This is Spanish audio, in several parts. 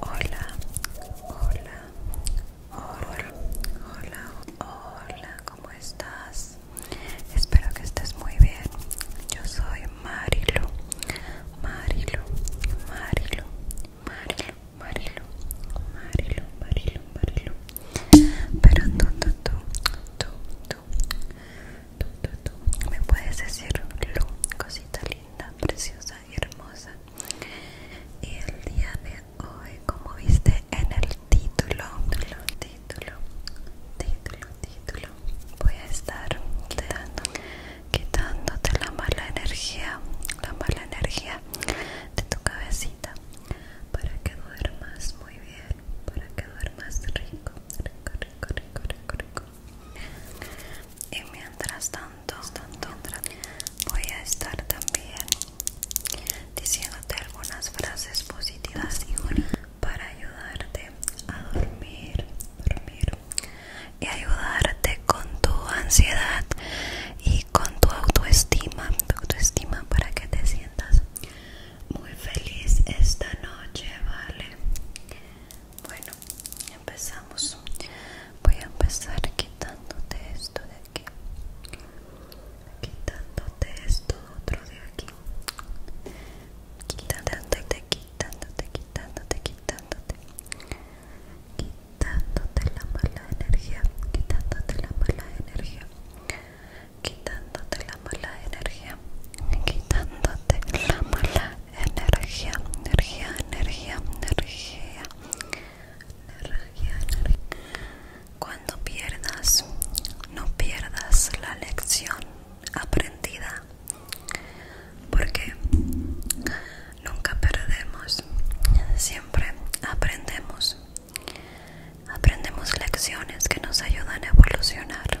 Hola, hola, hola, hola, hola, ¿cómo estás? Espero que estés muy bien. Yo soy marilo marilo marilo marilo marilo marilo marilo Marilu. Pero tú, tú, tú, tú, tú, tú, tú, tú, me puedes decir lo cosita preciosa y hermosa. Y el día de hoy, como viste en el título, título, voy a estar quitándote la mala energía, la mala energía de tu cabecita para que duermas muy bien, para que duermas rico, rico, rico, rico y mientras tanto, voy a estar también diciéndote algunas frases positivas para ayudarte a dormir, y ayudarte con tu ansiedad y con tu autoestima, tu autoestima para que te sientas muy feliz esta noche, ¿vale? Bueno, empezamos voy a empezar quitándote esto de aquí quitándote esto otro de aquí quitándote quitándote quitándote quitándote quitándote la mala energía quitándote la mala energía quitándote la mala energía quitándote la mala energía, energía, energía, energía, energía, Cuando pierdas, no pierdas la lección aprendida, porque nunca perdemos, siempre aprendemos. Aprendemos lecciones que nos ayudan a evolucionar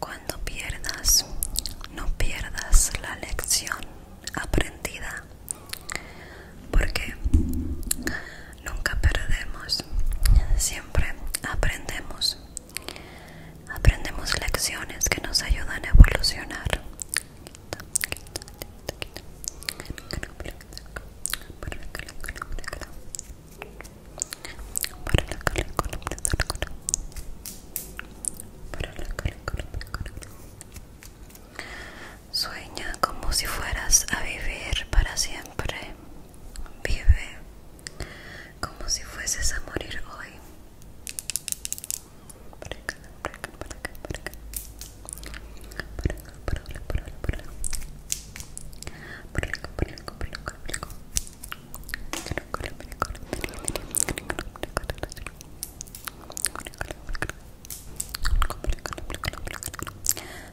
Cuando pierdas, no pierdas la lección aprendida, porque nunca perdemos, siempre aprendemos. Aprendemos lecciones que nos ayudan a evolucionar. Sueña como si fueras a vivir para siempre. Vive como si fueses a morir hoy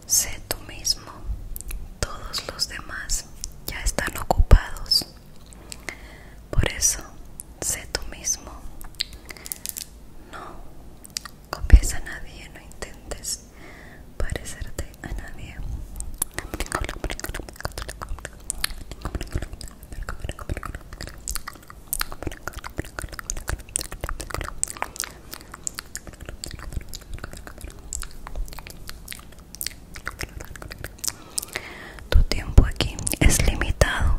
sé tú mismo todos los demás ya están ocupados por eso, sé tú mismo. No copies a nadie, no intentes parecerte a nadie. Tu tiempo aquí es limitado,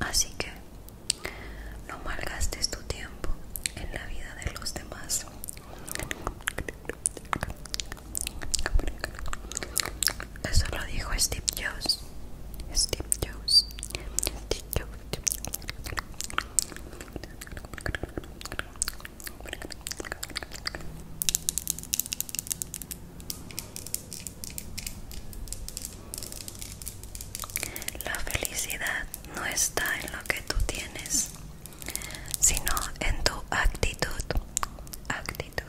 así que no malgastes tu tiempo en la vida de los demás. Eso lo dijo Steve Jobs. Steve Jobs. La felicidad no está en lo que tú tienes, sino en tu actitud. Actitud.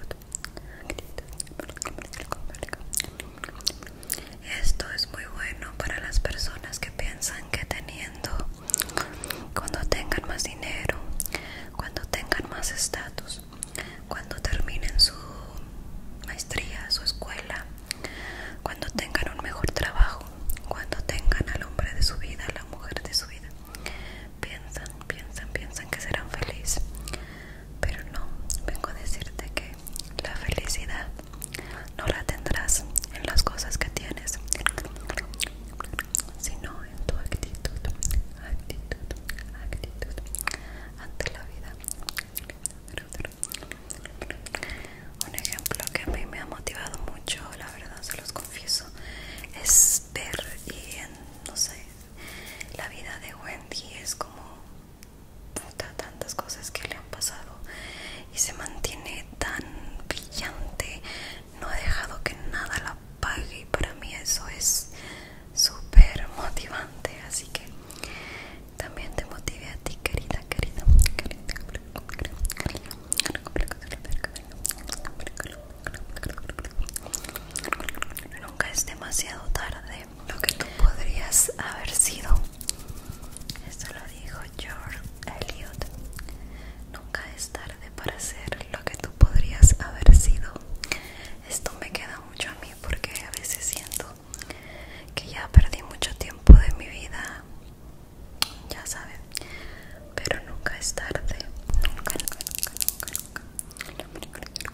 Esto es muy bueno para las personas que piensan que teniendo, cuando tengan más dinero, cuando tengan más estatus, cuando terminen su maestría, su escuela, cuando tengan un mejor trabajo, cuando tengan al hombre de su vida, la mujer de su vida. Piensan, piensan, piensan que serán felices. Pero no, vengo a decirte que la felicidad no la tendrás en las cosas que tienes sino en tu actitud, actitud, actitud ante la vida. Un ejemplo que a mí me ha motivado mucho, la verdad se los confieso, es ver no sé, la vida de Wendy es como tantas cosas que le han pasado y se mantiene tan brillante, no ha dejado que nada la y para mí eso es súper motivante así que también te motive a ti querida querida querida nunca es demasiado tarde lo que tú podrías haber sido esto lo dijo George Eliot Nunca es tarde para ser lo que tú podrías haber sido. Esto me queda mucho a mí porque a veces siento que ya perdí mucho tiempo de mi vida, ya saben, pero nunca es tarde. Nunca, nunca, nunca, nunca, nunca.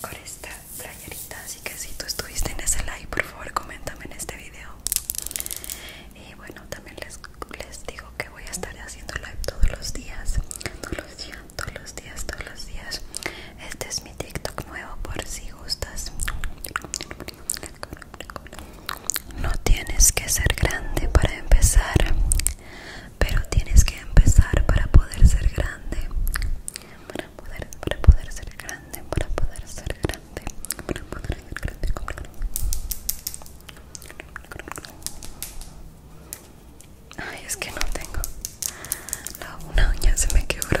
con esta playerita así que si tú estuviste en ese live, por favor coméntame en este video y bueno también les, les digo que voy a estar haciendo live todos los días todos los días todos los días todos los días este es mi tiktok nuevo por si gustas no tienes que ser grande para empezar pero tienes que empezar para poder ser grande. Para poder, para poder ser grande, para poder ser grande, para poder ser grande. Ay, es que no tengo. La una uña se me quebró.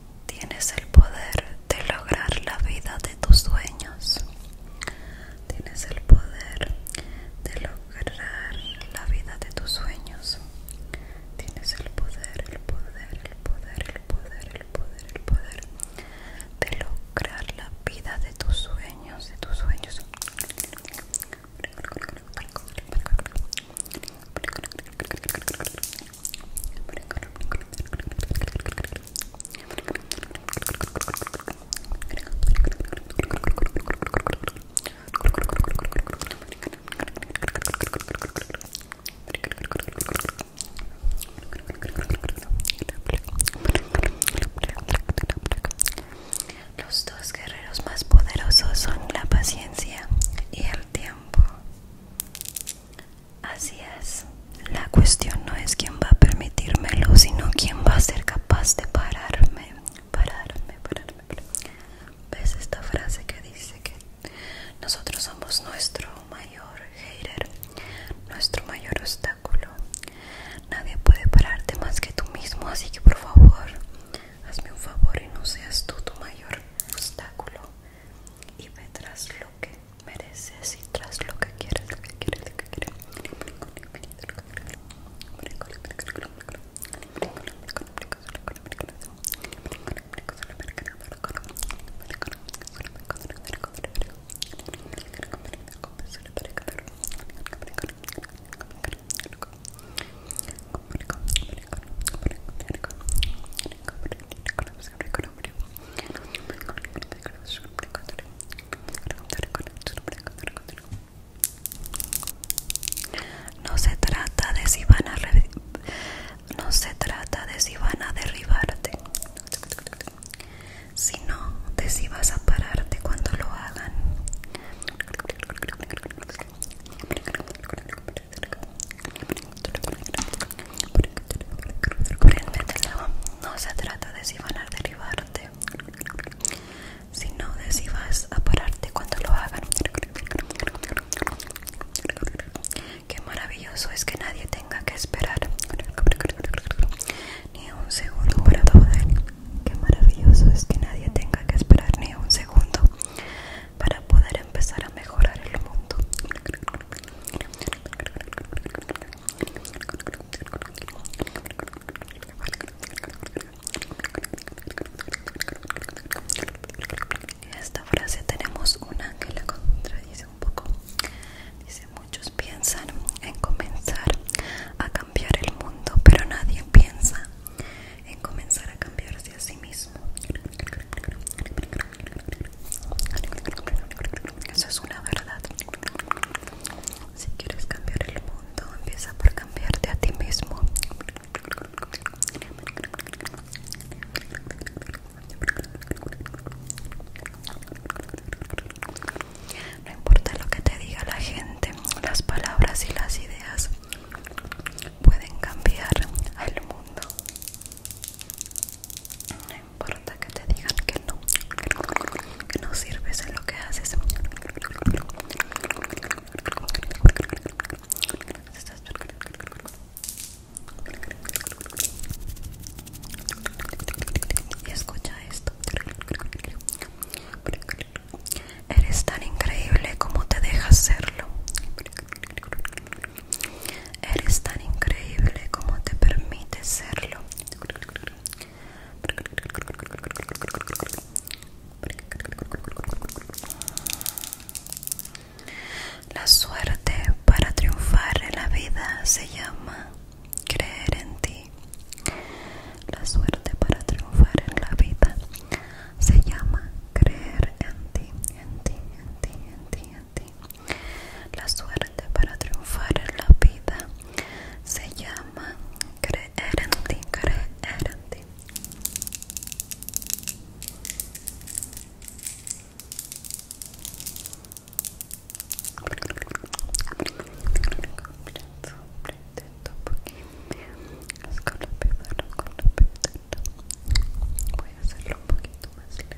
Tienes el poder de lograr la vida de tus sueños. Tienes el poder de lograr la vida de tus sueños. Tienes el poder, el poder, el poder, el poder, el poder, el poder de lograr la vida de tus sueños, de tus sueños. Los dos guerreros más poderosos son la paciencia y el tiempo. Así es, la cuestión no es quién va a permitírmelo, sino quién va a ser capaz de pararme, pararme, pararme. ¿Ves esta frase que dice que nosotros somos nuestro mayor hater, nuestro mayor obstáculo? Nadie puede pararte más que tú mismo, así que por favor, hazme un favor y no seas tú tu mayor obstáculo y verás lo que mereces y tras lo que quieres lo que quieres lo que no se trata de si van a no se trata de si van a derribarte, sino de si vas a pararte cuando lo hagan. No se trata de si van a derribarte, sino de si vas a pararte cuando lo hagan. Qué maravilloso es que nadie tenga que esperar ni un segundo para Qué maravilloso es que nadie tenga que esperar ni un segundo para poder empezar a mejorar el mundo. En Esta frase tenemos una que la contradice un poco. Dice, muchos piensan en comenzar a cambiar el mundo, pero nadie piensa en comenzar a cambiarse a sí mismo. Eso es una verdad. Si quieres cambiar el mundo, empieza por cambiarte a ti mismo. No importa lo que te diga la gente, las palabras y las ideas pueden cambiar al mundo importa que te digan que no, que no sirves en lo que haces. Y escucha esto. Eres tan increíble como te dejas hacerlo Eres tan increíble como te permite serlo. La suerte para triunfar en la vida se llama creer en ti. La suerte para triunfar en la vida se llama creer en ti, en ti, en ti, en ti, la suerte para triunfar en la vida se llama creer en ti, creer en ti. Voy a hacerlo un poquito más lento.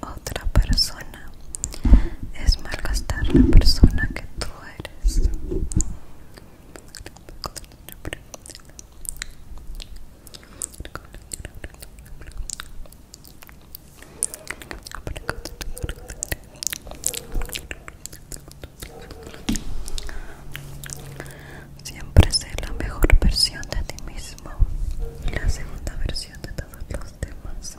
otra persona es malgastar la persona que tú eres Siempre sé la mejor versión de ti mismo y la segunda versión de todos los demás.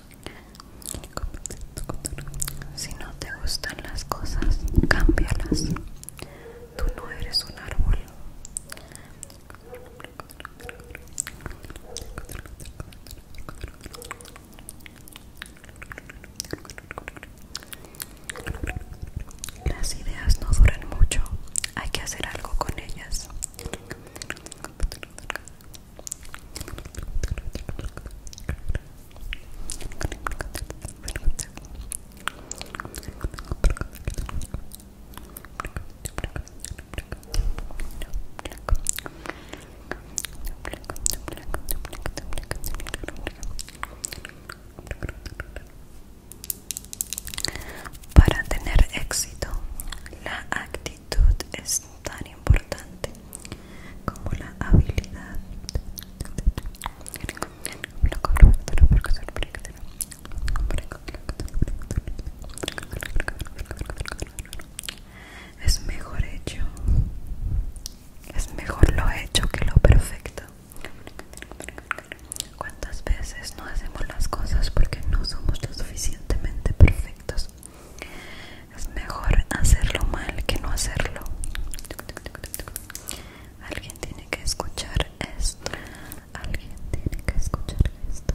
Si no te gustan las cosas, cámbialas. Tú no eres un árbol. Las ideas no duran mucho, hay que hacer algo con ellas. Para tener éxito, la actitud es tan importante como la habilidad es mejor hecho es mejor lo hecho que lo perfecto cuántas veces no hacemos las cosas porque no somos lo suficientemente perfectos es mejor hacerlo mal que no hacerlo. Alguien tiene que escuchar esto. Alguien tiene que escuchar esto.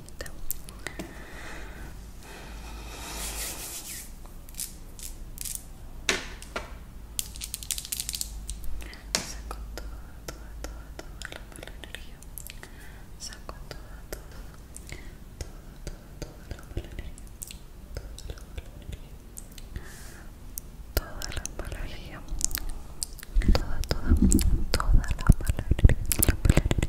saco toda, toda, toda, toda la mala energía saco toda, toda, toda, toda, toda la mala energía toda la mala energía toda toda, toda, la energía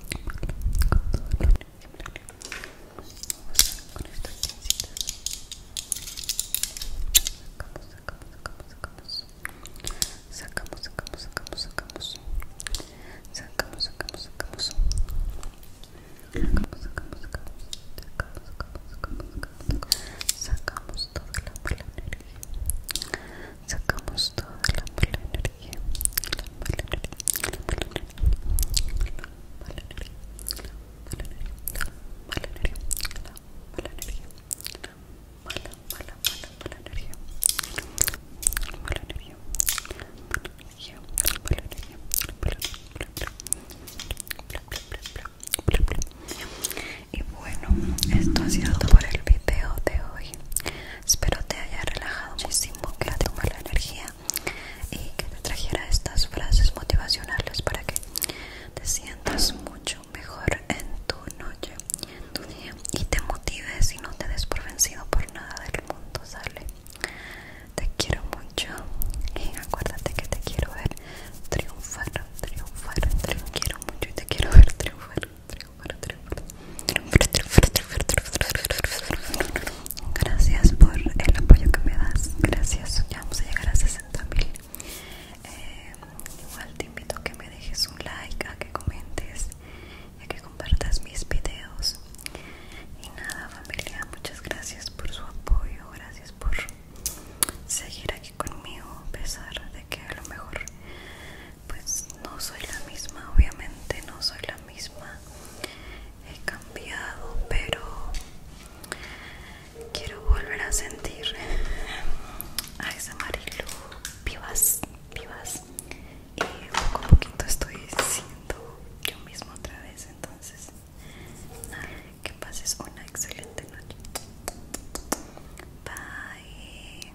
con estas sacamos, sacamos, sacamos, sacamos, sacamos, sacamos, sacamos, sacamos, sacamos, sacamos, sacamos, sacamos, sacamos, sacamos, sacamos, sacamos, sacamos toda la energía sacamos toda la mala energía, la mala energía, la mala energía, la mala energía, la mala energía, la mala energía, la mala, mala, mala, mala energía, mala energía, mala energía, mala energía, y bueno, esto ha sido todo por el video de hoy. Espero te haya relajado muchísimo, que la tome la energía y que te trajera estas frases motivacionales para que te sientas mucho mejor en tu noche, en tu día y te motives y no te des por vencido por nada del mundo, ¿sale? Te quiero mucho y acuérdate que te quiero ver triunfar, triunfar, te quiero mucho y te quiero ver triunfar. Gracias por el apoyo que me das. Gracias. Ya vamos a llegar a 60 eh, igual te invito a que me dejes un like, a que comentes y a que compartas mis videos. Y nada, familia, muchas gracias por su apoyo. Gracias por seguir aquí conmigo, a pesar de que a lo mejor pues no soy la misma, obviamente no soy la misma. He cambiado, pero quiero volver a sentir a esa amarillo vivas, vivas. Y poco poquito estoy siendo yo misma otra vez, entonces que pases una excelente noche. Bye.